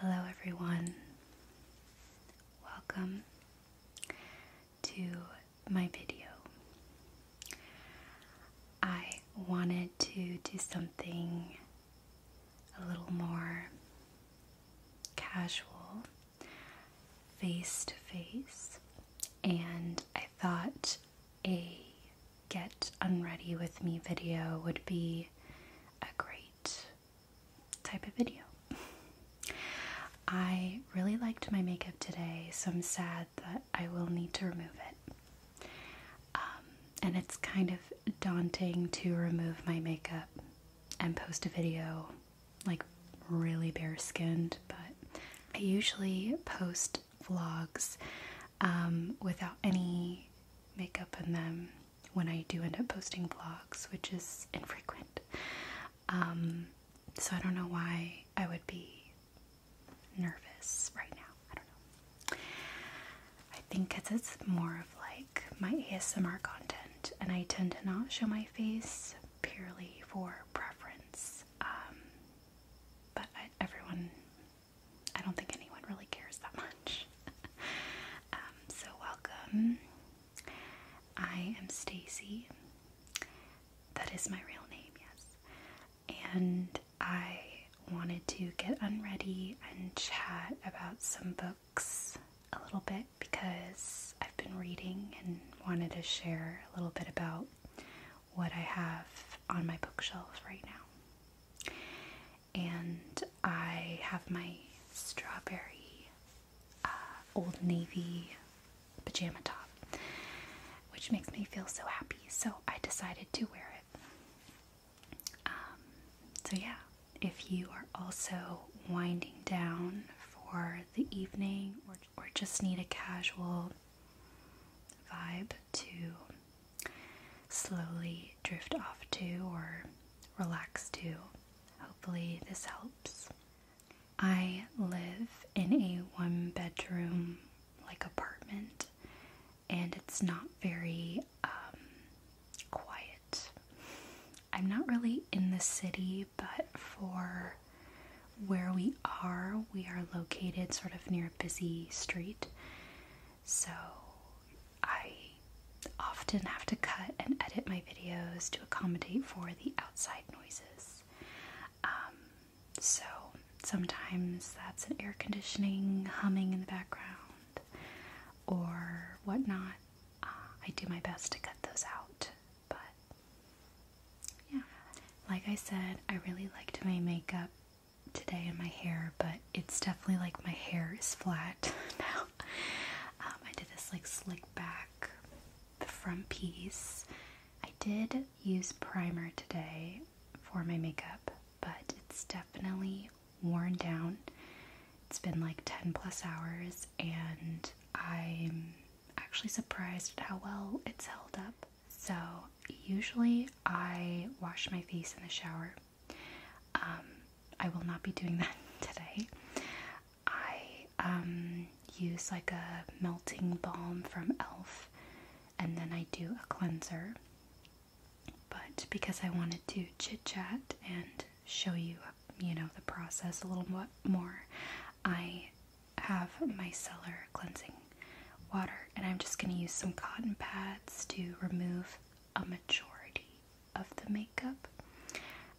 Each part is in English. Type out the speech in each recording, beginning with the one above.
Hello, everyone. Welcome to my video. I wanted to do something a little more casual, face to face, and I thought a get unready with me video would be a great type of video. I really liked my makeup today, so I'm sad that I will need to remove it. Um, and it's kind of daunting to remove my makeup and post a video like really bare skinned, but I usually post vlogs um, without any makeup on them when I do end up posting vlogs, which is infrequent. Um, so I don't know why I would be nervous right now. I don't know. I think because it's more of like my ASMR content, and I tend to not show my face purely for preference. Um, but everyone I don't think anyone really cares that much. Um, so welcome. I am Stacy. That is my real name, yes. And I wanted to get unready and chat about some books a little bit because I've been reading and wanted to share a little bit about what I have on my bookshelf right now. And I have my strawberry uh, Old Navy pajama top, which makes me feel so happy. So I decided to wear it. Um, so, yeah, if you are also winding down for the evening or, or just need a casual vibe, to slowly drift off to or relax to. Hopefully, this helps. I live in a one bedroom like apartment and it's not very um, quiet. I'm not really in the city, but for where we are, we are located sort of near a busy street, so I often have to cut and edit my videos to accommodate for the outside noises. Um, so sometimes that's an air conditioning humming in the background or whatnot. Uh, I do my best to cut those out, but yeah. Like I said, I really liked my makeup today in my hair, but it's definitely like my hair is flat now. Um, I did this like slick back, the front piece. I did use primer today for my makeup, but it's definitely worn down. It's been like 10 plus hours, and I'm actually surprised at how well it's held up. So, usually I wash my face in the shower. Um, I will not be doing that today. I um, use like a melting balm from e.l.f. and then I do a cleanser. But because I wanted to chit chat and show you, you know, the process a little more, I have my Cellar Cleansing water, and I'm just going to use some cotton pads to remove a majority of the makeup.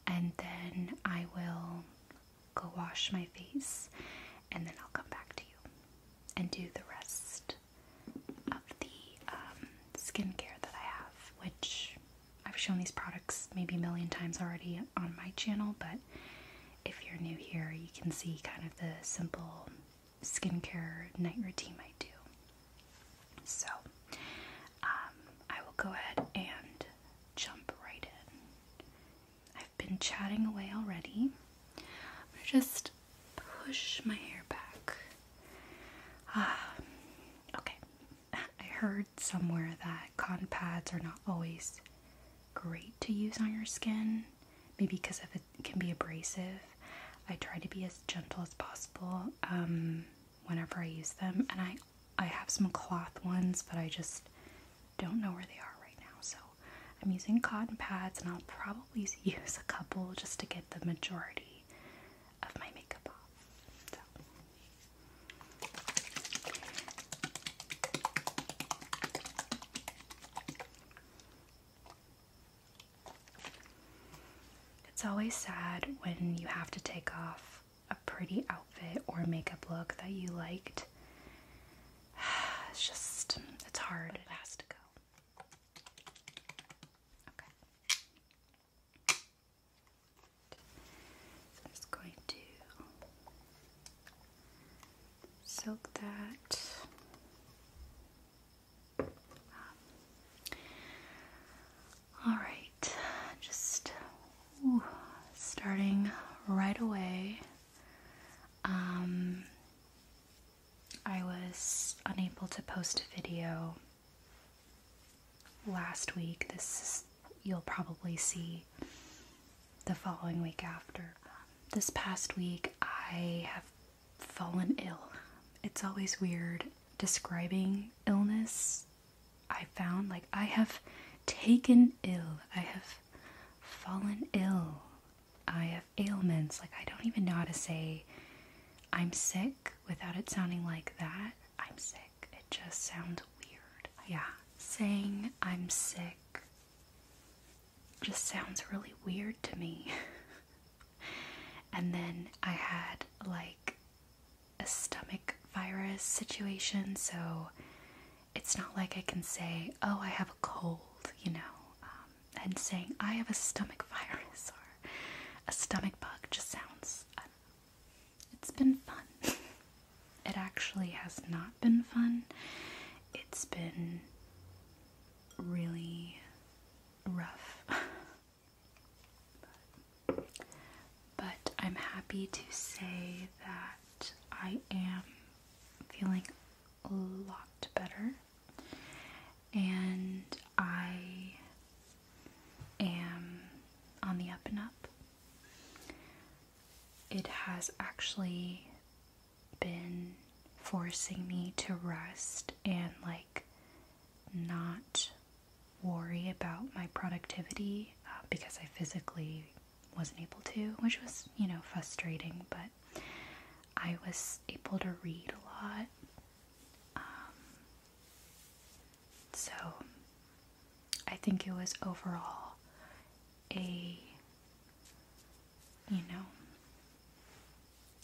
And then I will go wash my face, and then I'll come back to you and do the rest of the um, skincare that I have, which I've shown these products maybe a million times already on my channel, but if you're new here, you can see kind of the simple skincare night routine I do. So, um, I will go ahead and jump right in. I've been chatting away already. just push my hair back. Um, okay, I heard somewhere that cotton pads are not always great to use on your skin maybe because if it can be abrasive, I try to be as gentle as possible um, whenever I use them. And I, I have some cloth ones, but I just don't know where they are right now. So I'm using cotton pads, and I'll probably use a couple just to get the majority of my makeup off. It's always sad when you have to take off a pretty outfit or makeup look that you liked. It's just, it's hard. it has to go. Okay. just going to soak that all right, just starting right away. Um, I was unable to post a video last week. This you'll probably see the following week after. This past week, I have fallen ill. It's always weird describing illness. I found like I have taken ill, I have fallen ill, I have ailments. Like, I don't even know how to say I'm sick without it sounding like that. I'm sick. It just sounds weird. Yeah, saying I'm sick just sounds really weird to me. and then I had like a stomach virus situation, so it's not like I can say, Oh, I have a cold, you know, um, and saying I have a stomach virus or a stomach bug just sounds. It's been fun. it actually has not been fun. It's been really rough. but, I'm happy to say that I am feeling a lot better and I am on the up and up. It has actually been forcing me to rest and like not worry about my productivity uh, because I physically wasn't able to, which was, you know, frustrating, but I was able to read a lot. Um, so I think it was overall a you know,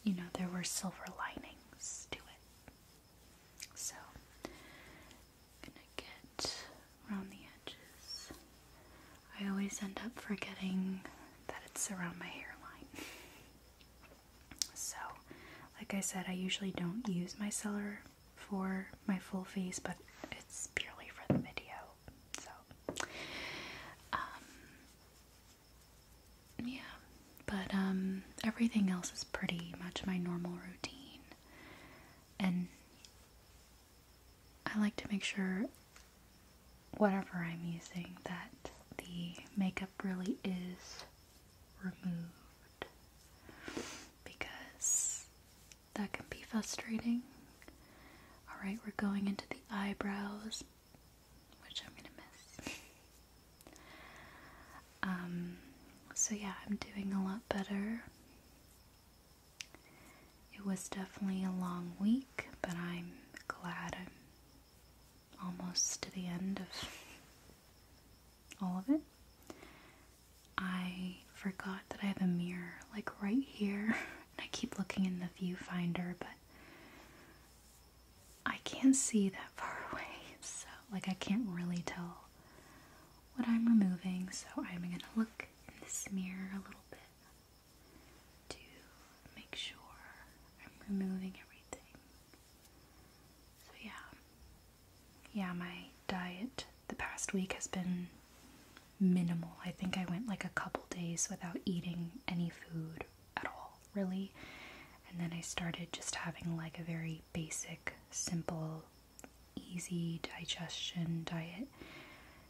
you know, there were silver linings to it. So, i gonna get around the edges. I always end up forgetting that it's around my hairline. so, like I said, I usually don't use my cellar for my full face, but it's purely for the video. So, um, yeah, but um, everything else is pretty much my normal routine, and I like to make sure whatever I'm using that the makeup really is removed because that can be frustrating. Alright, we're going into the eyebrows which I'm gonna miss. Um, so yeah, I'm doing a lot better. It was definitely a long week, but I'm glad I'm almost to the end of all of it. I forgot that I have a mirror like right here, and I keep looking in the viewfinder, but I can't see that far away, so like I can't really tell what I'm removing, so I'm gonna look in this mirror a little bit to make sure I'm removing everything. So yeah. Yeah, my diet the past week has been minimal. I think I went like a couple days without eating any food at all, really. And then I started just having like a very basic, simple, easy digestion diet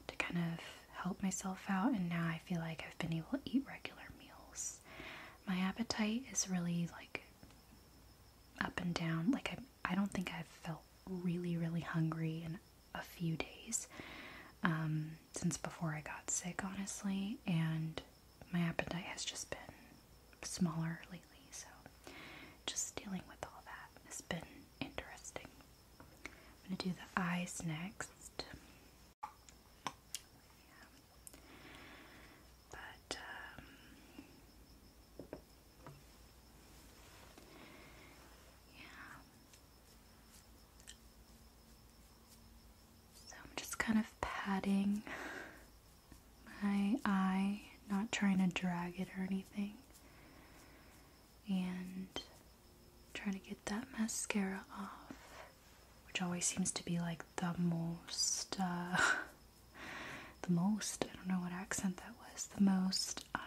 to kind of help myself out. And now I feel like I've been able to eat regular meals. My appetite is really like up and down. Like, I, I don't think I've felt really, really hungry and a few days um, since before I got sick, honestly, and my appetite has just been smaller lately, so just dealing with all that has been interesting. I'm gonna do the eyes next. But, um, yeah. So I'm just kind of patting my eye, not trying to drag it or anything. And trying to get that mascara off, which always seems to be like the most, uh, the most, I don't know what accent that was, the most, um,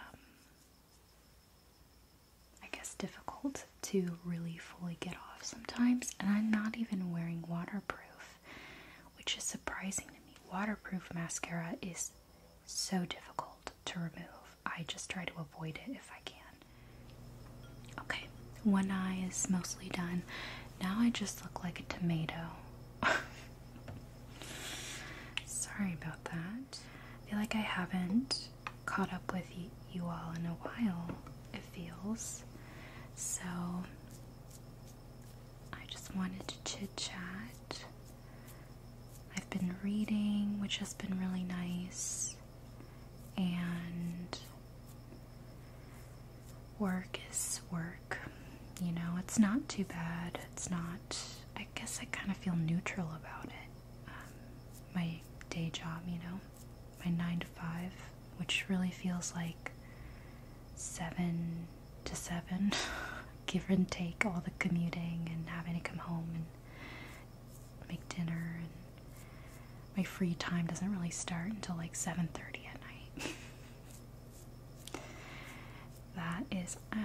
I guess, difficult to really fully get off sometimes. And I'm not even wearing waterproof, which is surprising to me. Waterproof mascara is so difficult to remove. I just try to avoid it if I can. Okay, one eye is mostly done. Now I just look like a tomato. Sorry about that. feel like I haven't caught up with you all in a while, it feels. So I just wanted to chit chat. I've been reading, which has been really nice, and work is work. You know, it's not too bad. It's not, I guess I kind of feel neutral about it. Um, my day job, you know, my nine to five, which really feels like seven to seven, give and take all the commuting and having to come home and make dinner and my free time doesn't really start until like 7.30 at night that is a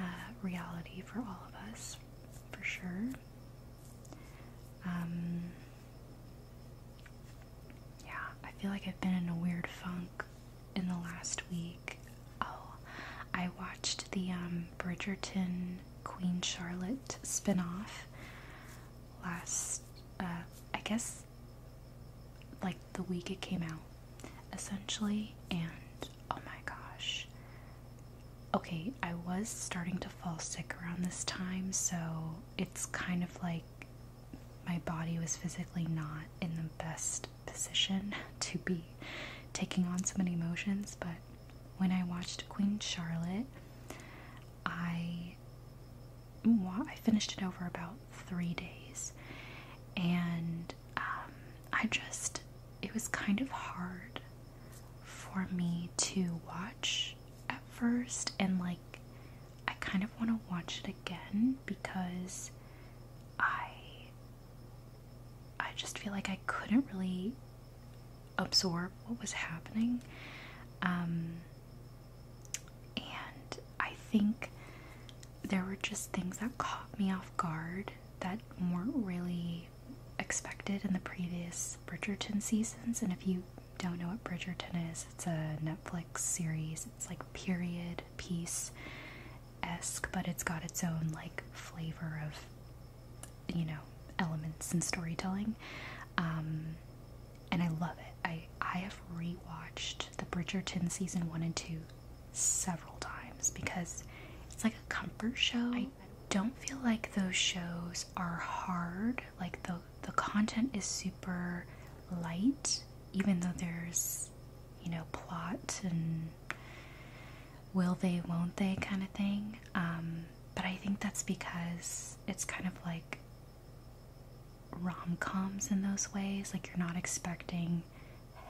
reality for all of us for sure um, yeah, I feel like I've been in a weird funk in the last week. Oh, I watched the um, Bridgerton Queen Charlotte spinoff last, uh, I guess, like the week it came out, essentially. And oh my gosh, okay, I was starting to fall sick around this time, so it's kind of like my body was physically not in the best position to be taking on so many emotions. But when I watched Queen Charlotte, I I finished it over about three days, and um, I just it was kind of hard for me to watch at first, and like I kind of want to watch it again because I I just feel like I couldn't really absorb what was happening. Um, and I think there were just things that caught me off guard that weren't really expected in the previous Bridgerton seasons. And if you don't know what Bridgerton is, it's a Netflix series. It's like period piece esque, but it's got its own like flavor of, you know, elements and storytelling. Um, and I love it. I, I have rewatched the Bridgerton season one and two several times because it's like a comfort show don't feel like those shows are hard. Like the the content is super light, even though there's you know plot and will they, won't they kind of thing. Um, but I think that's because it's kind of like rom coms in those ways. Like you're not expecting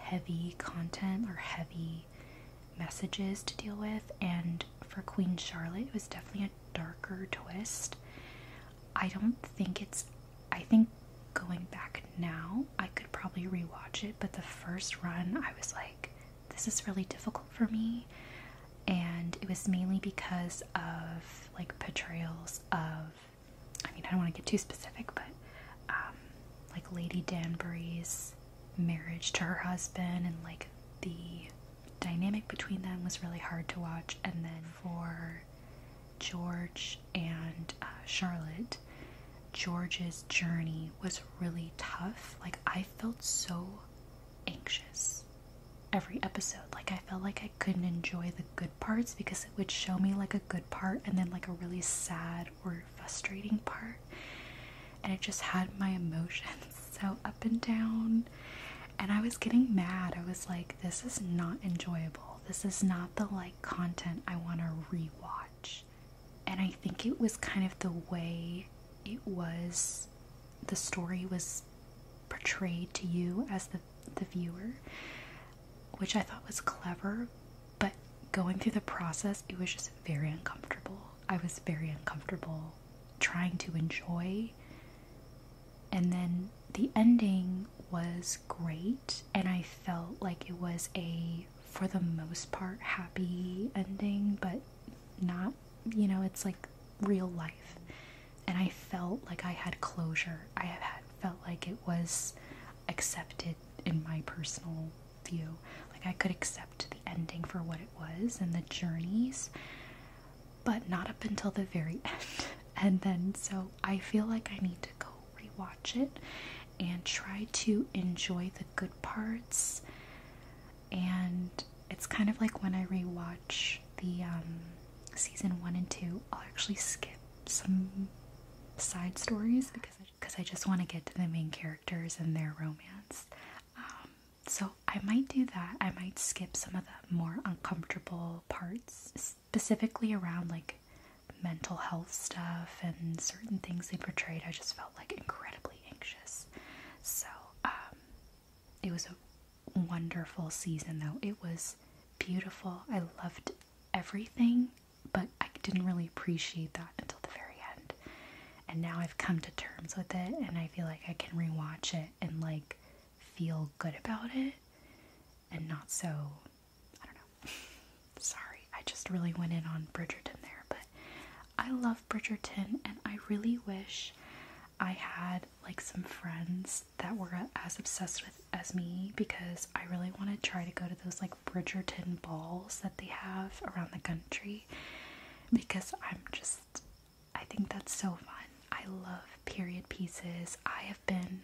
heavy content or heavy messages to deal with, and for Queen Charlotte, it was definitely a darker twist. I don't think it's. I think going back now, I could probably rewatch it, but the first run, I was like, this is really difficult for me. And it was mainly because of like portrayals of, I mean, I don't want to get too specific, but um, like Lady Danbury's marriage to her husband and like the dynamic between them was really hard to watch. And then for George and uh, Charlotte, George's journey was really tough. Like, I felt so anxious every episode. Like, I felt like I couldn't enjoy the good parts because it would show me like a good part and then like a really sad or frustrating part and it just had my emotions so up and down and I was getting mad. I was like this is not enjoyable. This is not the like content I want to rewatch. And I think it was kind of the way it was the story was portrayed to you as the the viewer, which I thought was clever, but going through the process, it was just very uncomfortable. I was very uncomfortable trying to enjoy. And then the ending was great, and I felt like it was a, for the most part, happy ending, but not, you know, it's like real life. And I felt like I had closure. I had felt like it was accepted in my personal view. Like I could accept the ending for what it was and the journeys, but not up until the very end. And then so I feel like I need to go rewatch it and try to enjoy the good parts. And it's kind of like when I rewatch the um, season one and two, I'll actually skip some side stories because I, cause I just want to get to the main characters and their romance. Um, so I might do that. I might skip some of the more uncomfortable parts, specifically around like mental health stuff and certain things they portrayed. I just felt like incredibly anxious. So, um, it was a wonderful season though. It was beautiful. I loved everything, but I didn't really appreciate that until the very end and now I've come to terms with it and I feel like I can rewatch it and like feel good about it and not so I don't know. Sorry, I just really went in on Bridgerton there, but I love Bridgerton and I really wish I had like some friends that were as obsessed with as me because I really want to try to go to those like Bridgerton balls that they have around the country because I'm just I think that's so fun. I love period pieces. I have been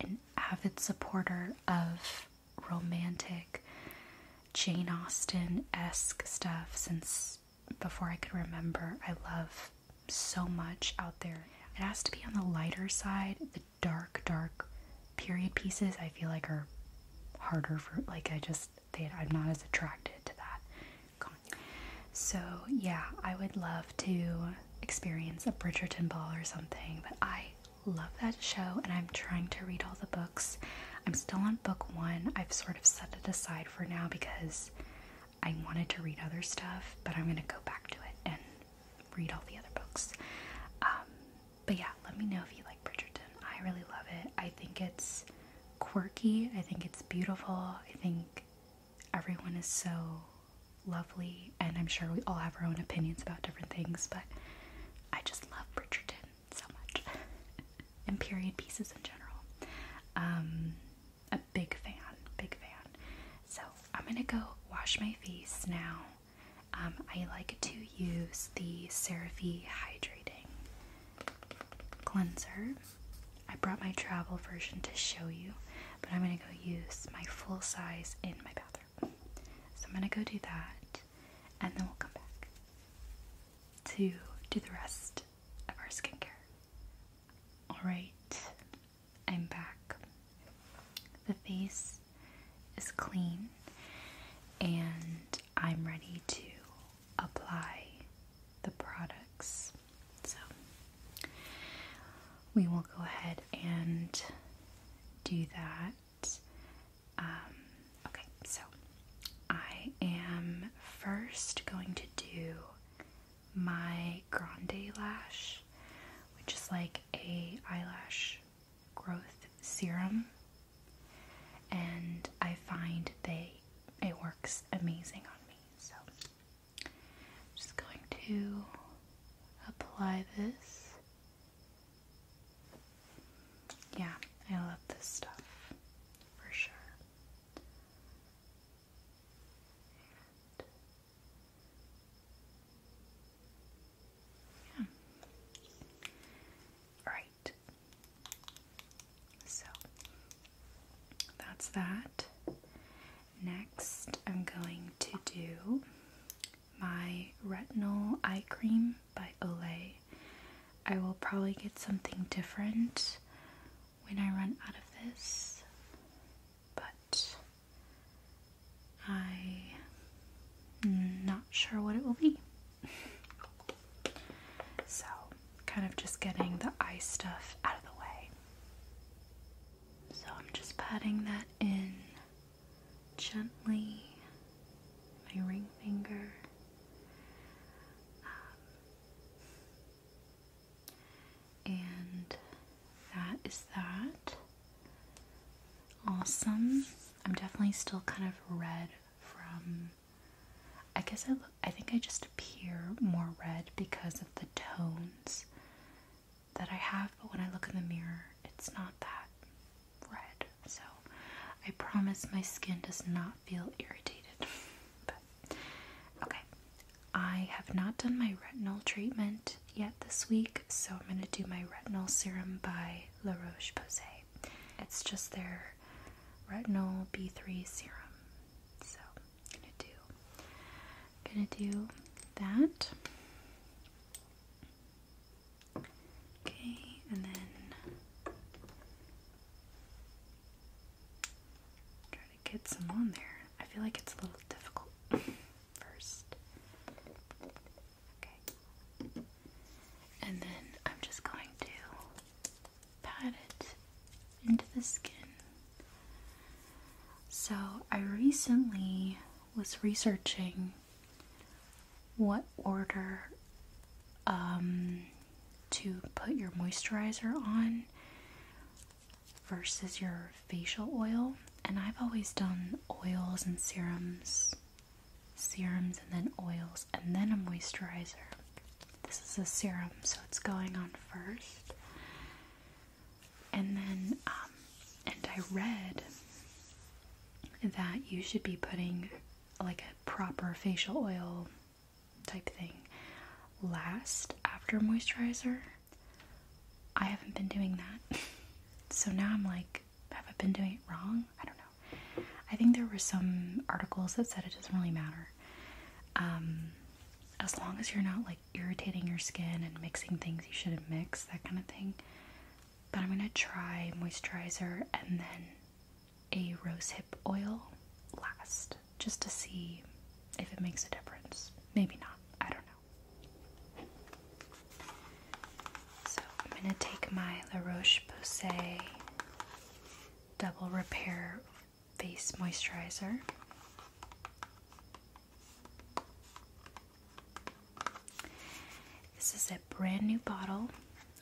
an avid supporter of romantic Jane Austen esque stuff since before I could remember. I love so much out there. It has to be on the lighter side. The dark, dark period pieces I feel like are harder for, like, I just, I'm not as attracted to that. So, yeah, I would love to experience a Bridgerton ball or something, but I love that show and I'm trying to read all the books. I'm still on book one. I've sort of set it aside for now because I wanted to read other stuff, but I'm going to go back to it and read all the other books. Um, but yeah, let me know if you like. Bridgerton. I really love it. I think it's quirky. I think it's beautiful. I think everyone is so lovely, and I'm sure we all have our own opinions about different things, but I just love Bridgerton so much. and period pieces in general. Um, a big fan, big fan. So I'm gonna go wash my face now. Um, I like to use the Seraphie Hydrating cleanser. I brought my travel version to show you, but I'm going to go use my full size in my bathroom. So I'm going to go do that, and then we'll come back to do the rest of our skincare. Alright, I'm back. The face is clean, and I'm ready to apply the products. So we will go ahead and do that. Um, okay, so I am first going to do my Grande Lash, which is like a eyelash growth serum and I find they it works amazing on me. So I'm just going to apply this. Yeah, I love this stuff for sure. yeah. All right. So that's that. Next, I'm going to do my retinol eye cream by Olay. I will probably get something different when I run out of this, but I'm mm, not sure what it will be. So, kind of just getting the eye stuff out of the way. So, I'm just patting that in gently, my ring finger. Um, and that is that. Awesome. I'm definitely still kind of red from I guess I look I think I just appear more red because of the tones that I have, but when I look in the mirror, it's not that red. So I promise my skin does not feel irritated. okay. I have not done my retinol treatment yet this week, so I'm gonna do my retinol serum by La Roche Posay. It's just their retinol B3 serum. So I'm gonna do gonna do that. Okay, and then try to get some on there. I feel like it's a little difficult first. Okay. And then I'm just going to pat it into the skin. So I recently was researching what order um, to put your moisturizer on versus your facial oil. And I've always done oils and serums serums and then oils and then a moisturizer. This is a serum, so it's going on first. And then, um, and I read that you should be putting like a proper facial oil type thing last after moisturizer. I haven't been doing that. so now I'm like, have I been doing it wrong? I don't know. I think there were some articles that said it doesn't really matter. Um, as long as you're not like irritating your skin and mixing things you shouldn't mix, that kind of thing. But I'm gonna try moisturizer and then a rose hip oil last just to see if it makes a difference. Maybe not, I don't know. So I'm gonna take my La Roche Posay Double Repair Face Moisturizer. This is a brand new bottle.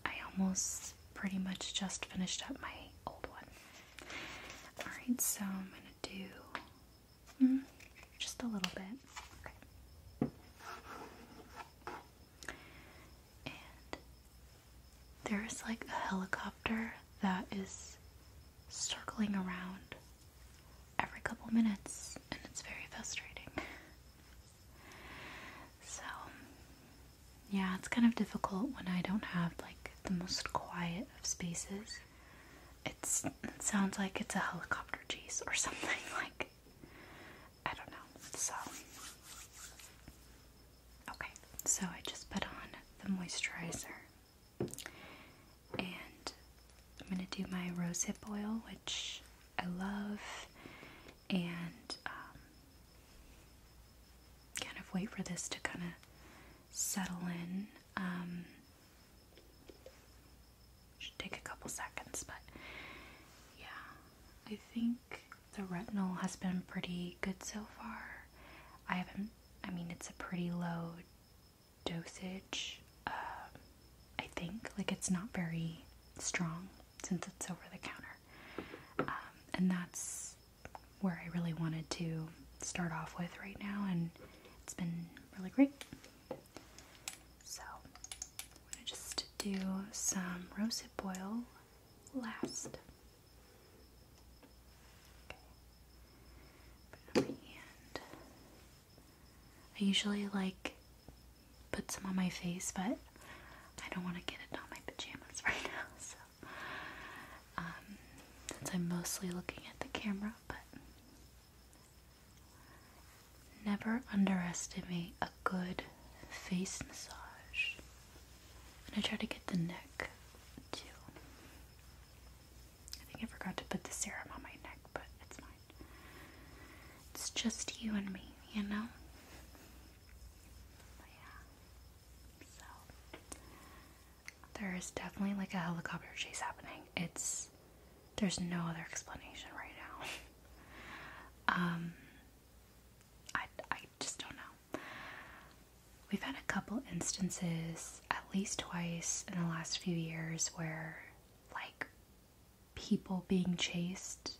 I almost pretty much just finished up my old one. Alright, so I'm going to do hmm, just a little bit there's like a helicopter that is circling around every couple minutes, and it's very frustrating. So, yeah, it's kind of difficult when I don't have like the most quiet of spaces. it sounds like it's a helicopter chase or something like I don't know. So, okay, so I just put on the moisturizer and I'm going to do my rosehip oil, which I love, and um, kind of wait for this to kind of settle in. Um, should take a couple seconds, but yeah, I think the retinol has been pretty good so far. I haven't, I mean, it's a pretty low dosage, uh, I think. Like, it's not very strong since it's over the counter. Um, and that's where I really wanted to start off with right now, and it's been really great. So, I'm gonna just do some rosehip oil last. Okay. Put on my hand. I usually like put some on my face, but I don't want to get it on my pajamas right now, so um, since I'm mostly looking at the camera, but never underestimate a good face massage. And I try to get the neck too. I think I forgot to put the serum on my neck, but it's fine. It's just you and me, you know? yeah. So there is definitely like a helicopter chase happening. It's there's no other explanation right now. um I I just don't know. We've had a couple instances, at least twice in the last few years, where like people being chased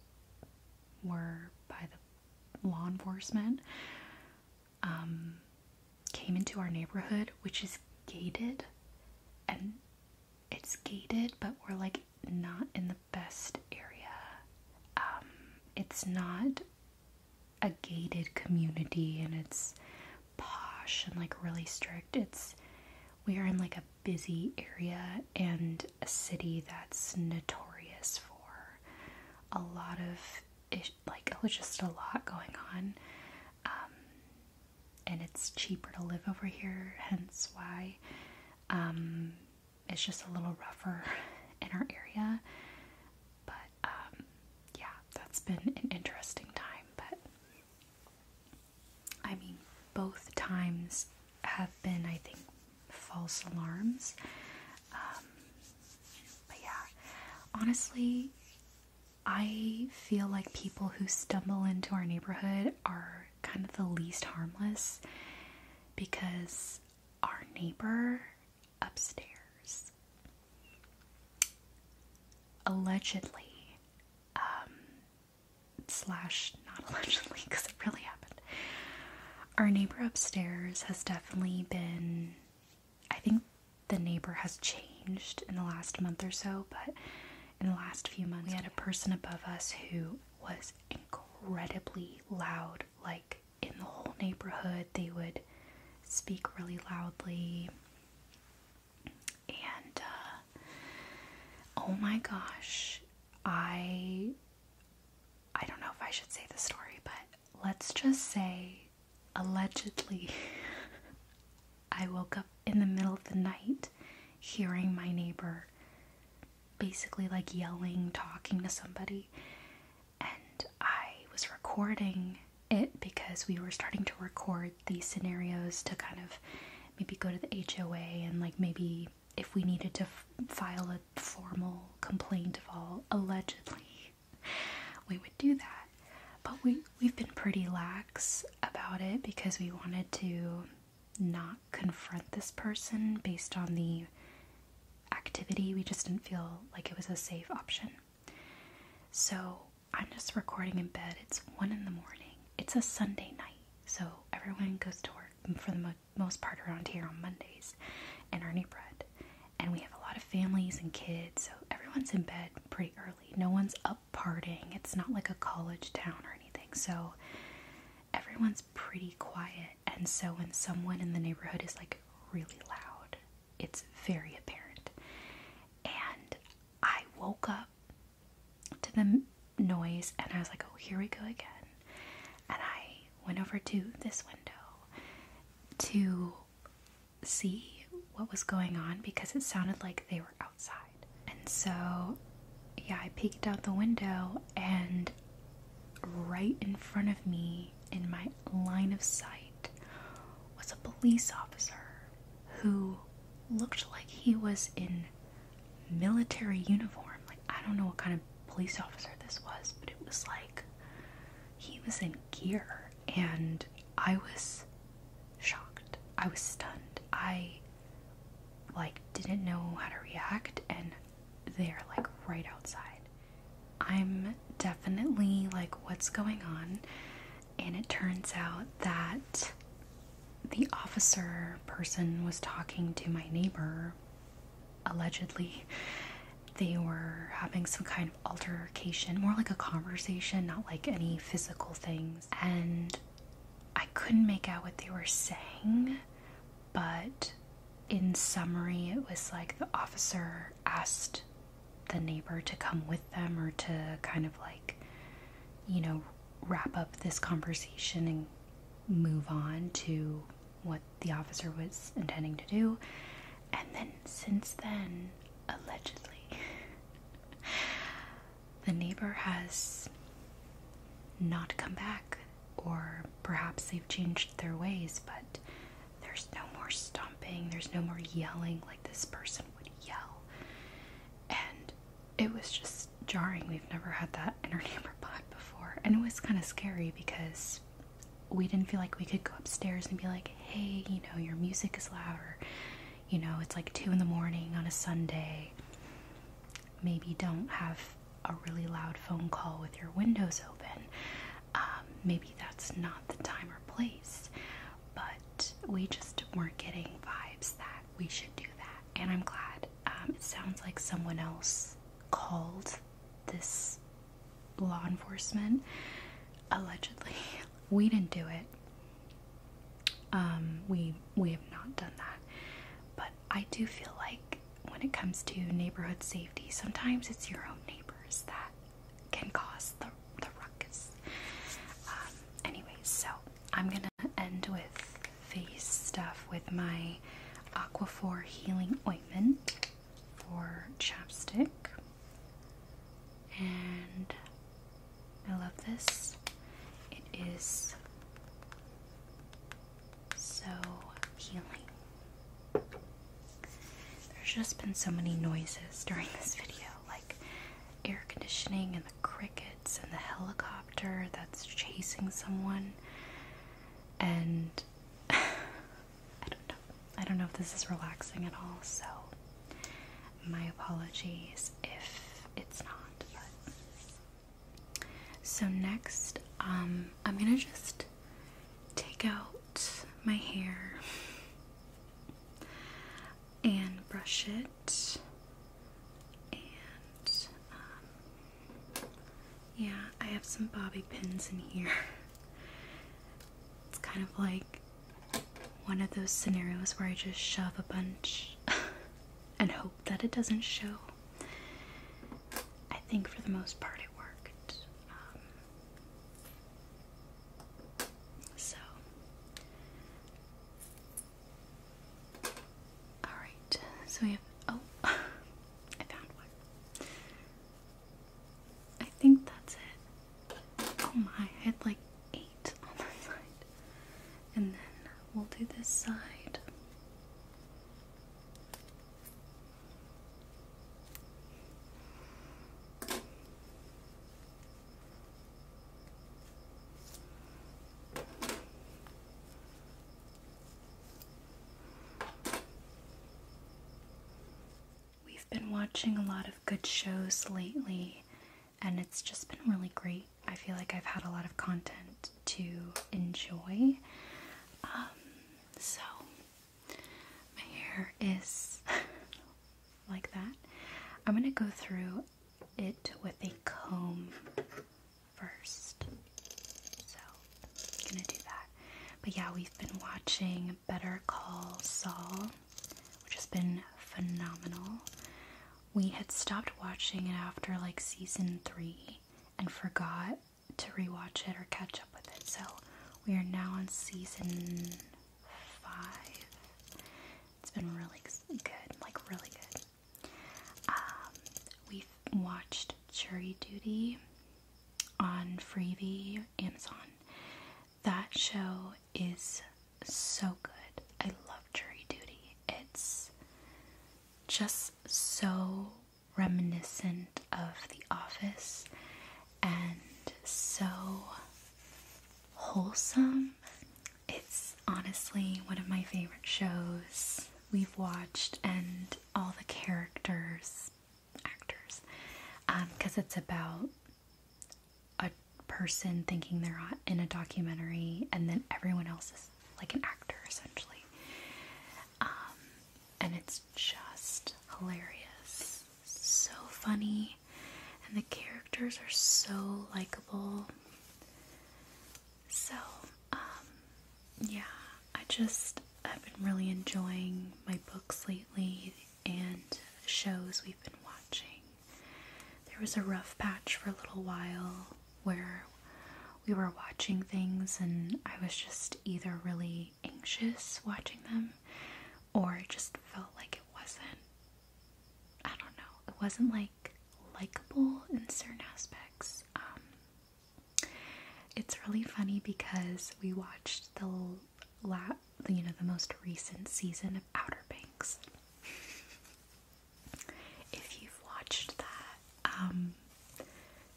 were by the law enforcement um, came into our neighborhood, which is gated, and it's gated, but we're like not in the best area. Um, it's not a gated community and it's posh and like really strict. It's we are in like a busy area and a city that's notorious for a lot of like it oh, was just a lot going on. Um, and it's cheaper to live over here, hence why. Um, it's just a little rougher in our area. But um, yeah, that's been an interesting time. But I mean, both times have been, I think, false alarms. Um, but yeah, honestly, I feel like people who stumble into our neighborhood are kind of the least harmless because our neighbor upstairs allegedly um, slash not allegedly because it really happened our neighbor upstairs has definitely been i think the neighbor has changed in the last month or so but in the last few months we had a person above us who was incredibly loud, like in the whole neighborhood. They would speak really loudly. And uh, oh my gosh, I I don't know if I should say the story, but let's just say allegedly I woke up in the middle of the night hearing my neighbor basically like yelling, talking to somebody. And I was recording it because we were starting to record these scenarios to kind of maybe go to the HOA and like maybe if we needed to file a formal complaint of all allegedly we would do that but we we've been pretty lax about it because we wanted to not confront this person based on the activity. We just didn't feel like it was a safe option. So I'm just recording in bed. It's one in the morning. It's a Sunday night. So everyone goes to work for the most part around here on Mondays and earning bread. And we have a lot of families and kids. So everyone's in bed pretty early. No one's up partying. It's not like a college town or anything. So everyone's pretty quiet and so when someone in the neighborhood is like really loud, it's very apparent. And I woke up to the noise and I was like, oh, here we go again. And I went over to this window to see what was going on because it sounded like they were outside. And so, yeah, I peeked out the window and right in front of me, in my line of sight, was a police officer who looked like he was in military uniform. Like, I don't know what kind of police officer this was, but it was like he was in gear. And I was shocked. I was stunned. I, like, didn't know how to react, and they're like right outside. I'm definitely like, what's going on? And it turns out that the officer person was talking to my neighbor, allegedly. They were having some kind of altercation, more like a conversation, not like any physical things. And I couldn't make out what they were saying, but in summary, it was like the officer asked the neighbor to come with them or to kind of like, you know, wrap up this conversation and move on to what the officer was intending to do. And then since then, allegedly, the neighbor has not come back or perhaps they've changed their ways, but there's no more stomping, there's no more yelling like this person would yell. And it was just jarring. We've never had that in our neighbor pod before. And it was kind of scary because we didn't feel like we could go upstairs and be like, hey, you know, your music is loud, or, you know, it's like two in the morning on a Sunday maybe don't have a really loud phone call with your windows open. Um, maybe that's not the time or place, but we just weren't getting vibes that we should do that. And I'm glad. Um, it sounds like someone else called this law enforcement allegedly. We didn't do it. Um, we we have not done that, but I do feel like when it comes to neighborhood safety, sometimes it's your own neighbors that can cause the, ruckus. Um, anyways, so I'm gonna end with face stuff with my Aquaphor Healing Ointment for chapstick. And I love this. It is so healing. There's just been so many noises during this video, like air conditioning and the crickets and the helicopter that's chasing someone. And I don't know. I don't know if this is relaxing at all, so my apologies if it's not, so next, um, I'm gonna just take out my hair and brush it. And um, yeah, I have some bobby pins in here. It's kind of like one of those scenarios where I just shove a bunch and hope that it doesn't show. I think for the most part it worked. Um, so, all right. So we have. Oh, I found one. I think that's it. Oh my! I had like eight on that side, and then we'll do this side. We've been watching a lot of good shows lately, and it's just been really great. I feel like I've had a lot of content to enjoy. Um, so, my hair is like that. I'm going to go through it with a comb first. So, going to do that. But yeah, we've been watching Better Call Saul, which has been phenomenal. We had stopped watching it after like season three and forgot to rewatch it or catch up with it. So we are now on season five. It's been really good, like really good. Um, we've watched Jury Duty on Freebie, Amazon. That show is so good. I love Jury Duty. It's just so reminiscent of The Office and so wholesome. It's honestly one of my favorite shows we've watched, and all the characters, actors, because um, it's about a person thinking they're in a documentary, and then everyone else is like an actor essentially. Um, and it's just hilarious, so funny, and the characters are so likable. So, um, yeah, I just I've been really enjoying my books lately and shows we've been watching. There was a rough patch for a little while where we were watching things and I was just either really anxious watching them or just felt like it wasn't I don't know, it wasn't like likable in certain aspects. Um, it's really funny because we watched the la you know the most recent season of Outer Banks. If you've watched that, um,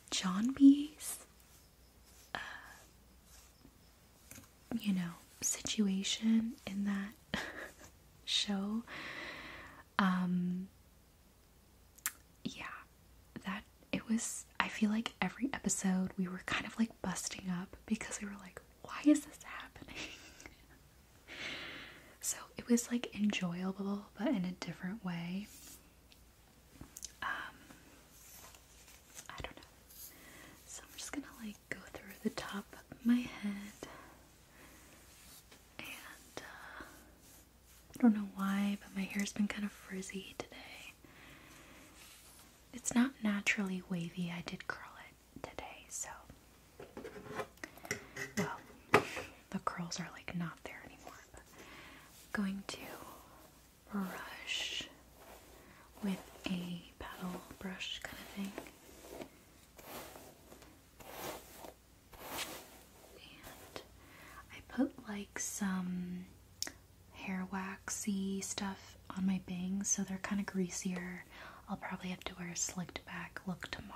John B's, uh, you know, situation in that show. Um, yeah, that it was. I feel like every episode we were kind of like busting up because we were like, why is this happening? so it was like enjoyable, but in a different way. Um, I don't know. So I'm just gonna like go through the top of my head, and uh, I don't know why, but my hair's been kind of frizzy today. It's not naturally wavy. I did curl it today, so the curls are like not there anymore. I'm going to brush with a paddle brush kind of thing. And I put like some hair waxy stuff on my bangs so they're kind of greasier. I'll probably have to wear a slicked back look tomorrow.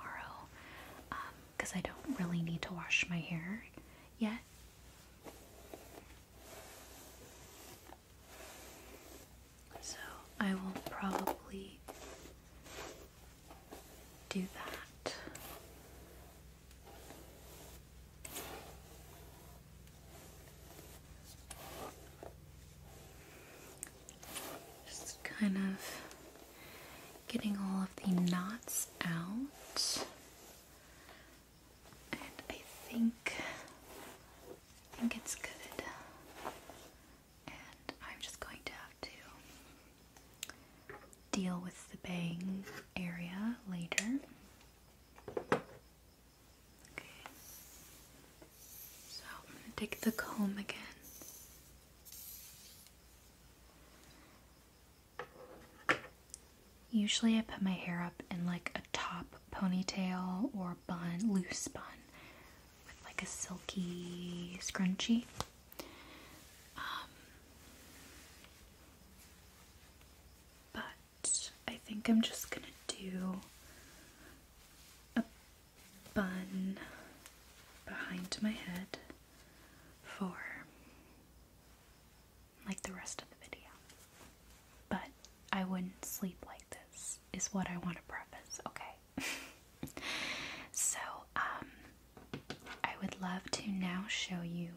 Um, because I don't really need to wash my hair yet. So I will probably do that. Just kind of getting all of the knots out. And I think I think it's good. And I'm just going to have to deal with the bang area later. Okay. So I'm gonna take the comb again. Usually I put my hair up in like a top ponytail or bun, loose bun, with like a silky scrunchie. Um, but I think I'm just gonna do a bun behind my head for like the rest of the video. But I wouldn't sleep like this, is what I want to preface, okay? so, um, I would love to now show you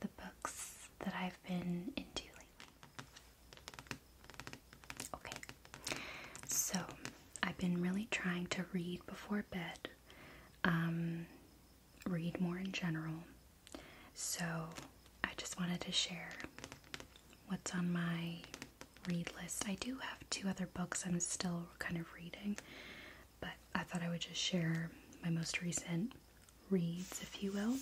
the books that I've been into lately. Okay, so I've been really trying to read before bed. Um, read more in general. So I just wanted to share what's on my read list. I do have two other books I'm still kind of reading, but I thought I would just share my most recent reads, if you will.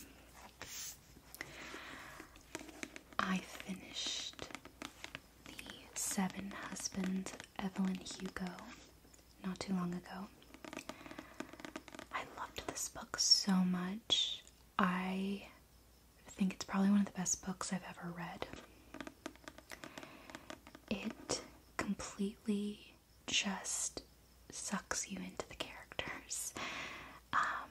I finished The Seven Husbands of Evelyn Hugo not too long ago. I loved this book so much. I think it's probably one of the best books I've ever read. It completely just sucks you into the characters. Um,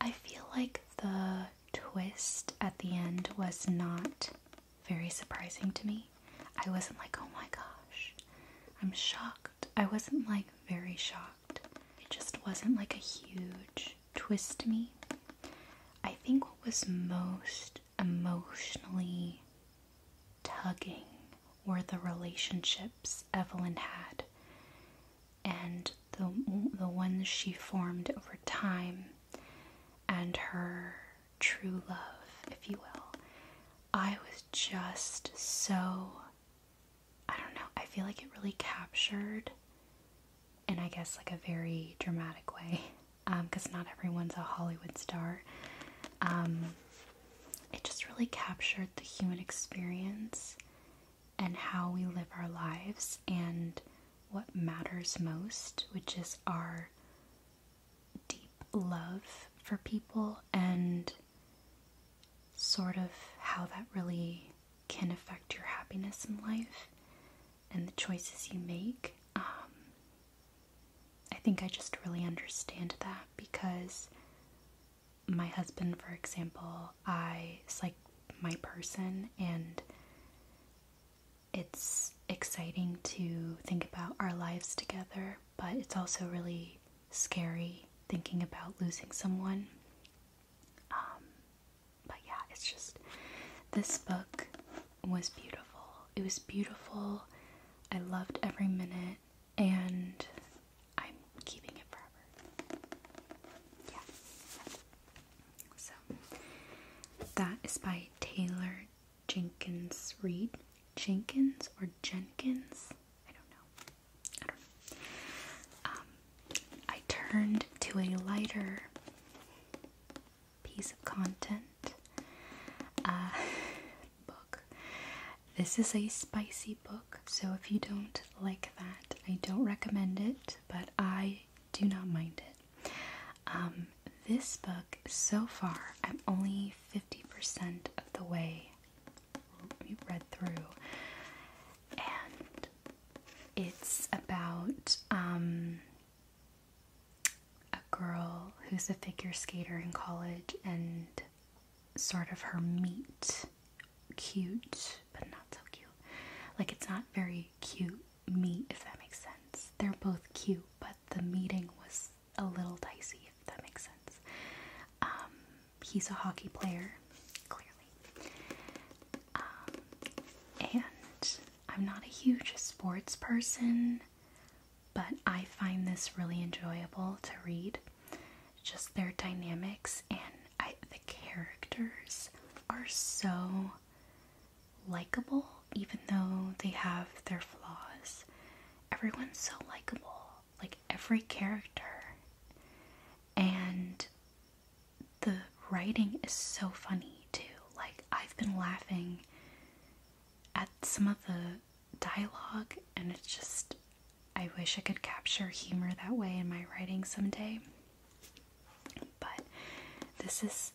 I feel like the twist at the end was not very surprising to me. I wasn't like, oh my gosh, I'm shocked. I wasn't like very shocked. It just wasn't like a huge twist to me. I think what was most emotionally tugging were the relationships Evelyn had and the, the ones she formed over time and her true love, if you will. I was just so, I don't know, I feel like it really captured, in I guess like a very dramatic way, because um, not everyone's a Hollywood star. Um, it just really captured the human experience and how we live our lives and what matters most, which is our deep love for people and sort of how that really can affect your happiness in life and the choices you make. Um, I think I just really understand that because my husband, for example, I is like my person and it's exciting to think about our lives together, but it's also really scary thinking about losing someone. Um, but yeah, it's just this book was beautiful. It was beautiful. I loved every minute, and I'm keeping it forever. Yeah. So that is by Taylor Jenkins Reed. Jenkins or Jenkins? I don't know. Um, I turned to a lighter piece of content. Uh, book. This is a spicy book, so if you don't like that, I don't recommend it, but I do not mind it. Um, this book, so far, I'm only 50% of the way read through, and it's about um, a girl who's a figure skater in college and sort of her meet cute, but not so cute. Like it's not very cute meet, if that makes sense. They're both cute, but the meeting was a little dicey, if that makes sense. Um, he's a hockey player, clearly. Um, and I'm not a huge sports person, but I find this really enjoyable to read. Just their dynamics and the characters are so likable, even though they have their flaws. Everyone's so likable, like every character. And the writing is so funny too. Like, I've been laughing at some of the dialogue, and it's just, I wish I could capture humor that way in my writing someday. But this is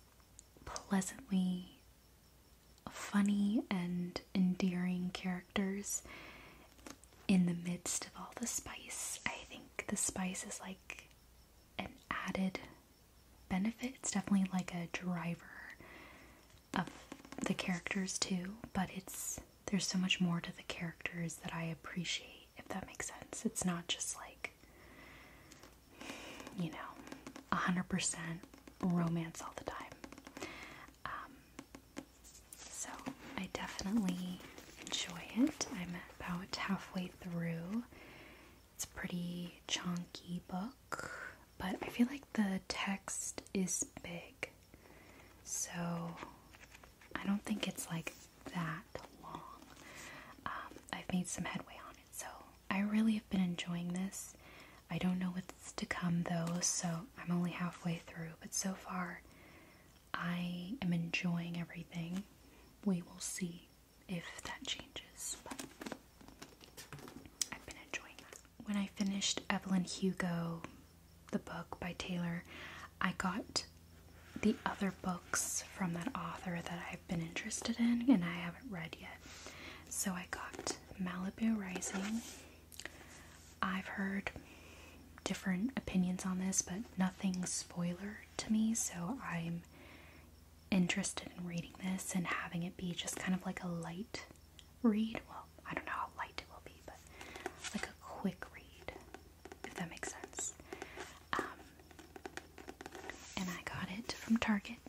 pleasantly funny and endearing characters in the midst of all the spice. I think the spice is like an added benefit. It's definitely like a driver of the characters too, but it's there's so much more to the characters that I appreciate if that makes sense. It's not just like you know, 100% romance all the time. Um, so I definitely enjoy it. I'm about halfway through. It's a pretty chunky book, but I feel like the text is big. So I don't think it's like that long. Um, I've made some headway on it. So I really have been enjoying this. I don't know what's to come though, so I'm only halfway through, but so far I am enjoying everything. We will see if that changes, but I've been enjoying that. When I finished Evelyn Hugo, the book by Taylor, I got the other books from that author that I been interested in and I haven't read yet. So I got Malibu Rising. I've heard different opinions on this, but nothing spoiler to me, so I'm interested in reading this and having it be just kind of like a light read. Well, I don't know how light it will be, but like a quick read, if that makes sense. Um, and I got it from Target.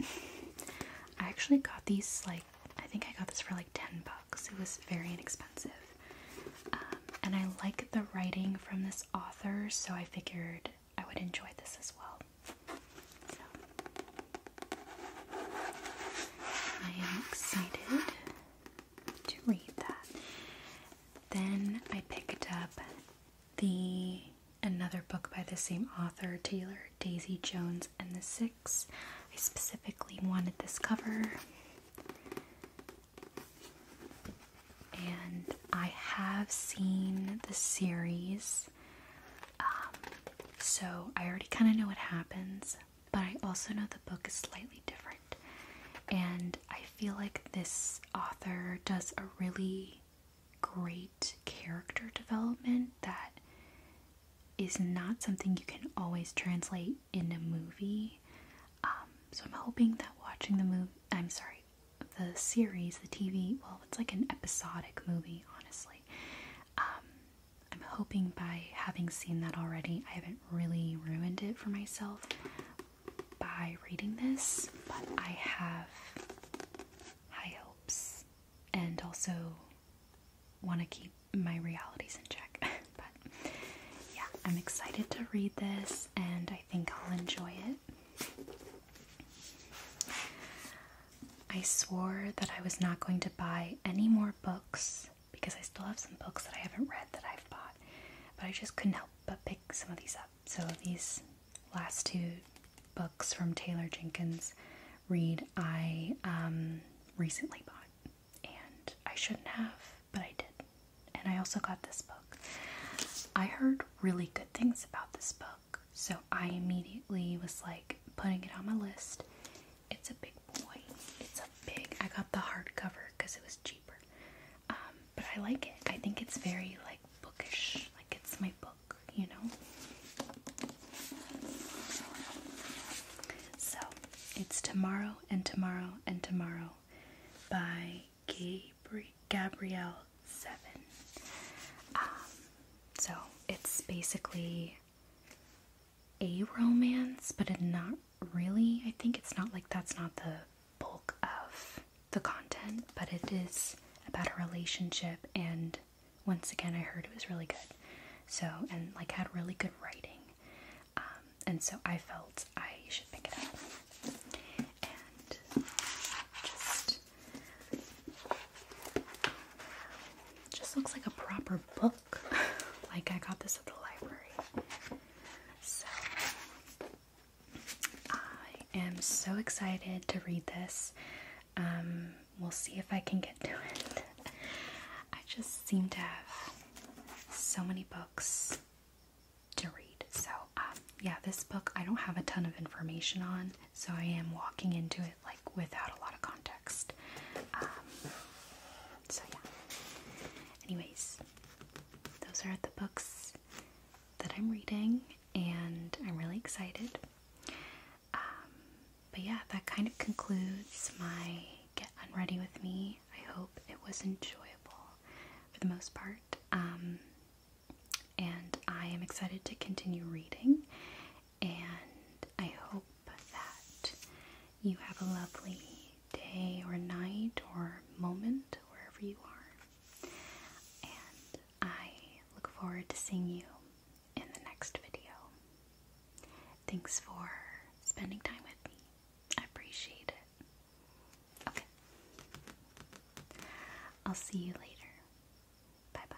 I actually got these like I think I got this for like 10 bucks. It was very inexpensive. Um, and I like the writing from this author, so I figured I would enjoy this as well. So I am excited to read that. Then I picked up the another book by the same author, Taylor Daisy Jones and the Six. I specifically wanted this cover, and I have seen the series, um, so I already kind of know what happens, but I also know the book is slightly different, and I feel like this author does a really great character development that is not something you can always translate in a movie. Um, so I'm hoping that watching the movie, I'm sorry, the series, the TV, well, it's like an episodic movie, honestly. Um, I'm hoping by having seen that already, I haven't really ruined it for myself by reading this, but I have high hopes and also want to keep my realities in check. but yeah, I'm excited to read this and I think I'll enjoy it. I swore that I was not going to buy any more books because I still have some books that I haven't read that I've bought, but I just couldn't help but pick some of these up. So these last two books from Taylor Jenkins read I um, recently bought, and I shouldn't have, but I did. And I also got this book. I heard really good things about this book, so I immediately was like putting it on my list. It's a big boy. It's a big. I got the hardcover because it was cheaper, um, but I like it. I think it's very like bookish. Like it's my book you know. So it's Tomorrow and Tomorrow and Tomorrow by Gabri Gabrielle Seven. Um, so it's basically a romance, but not really. I think it's not like that's not the bulk of the content, but it is about a relationship and once again, I heard it was really good. So, and like had really good writing. Um, and so I felt I should pick it up. And just. Just looks like a proper book. like I got this at the library. So. I am so excited to read this. Um, we'll see if I can get to it. I just seem to have so many books to read. So, um, yeah, this book I don't have a ton of information on, so I am walking into it like without a lot of context. Um, so, yeah. Anyways, those are the books that I'm reading, and I'm really excited. Um, but yeah, that kind of concludes my Get Unready With Me. I hope it was enjoyable for the most part. Um, and I am excited to continue reading. And I hope that you have a lovely day or night or moment wherever you are. And I look forward to seeing you in the next video. Thanks for spending time with me. I appreciate it. Okay. I'll see you later. Bye bye.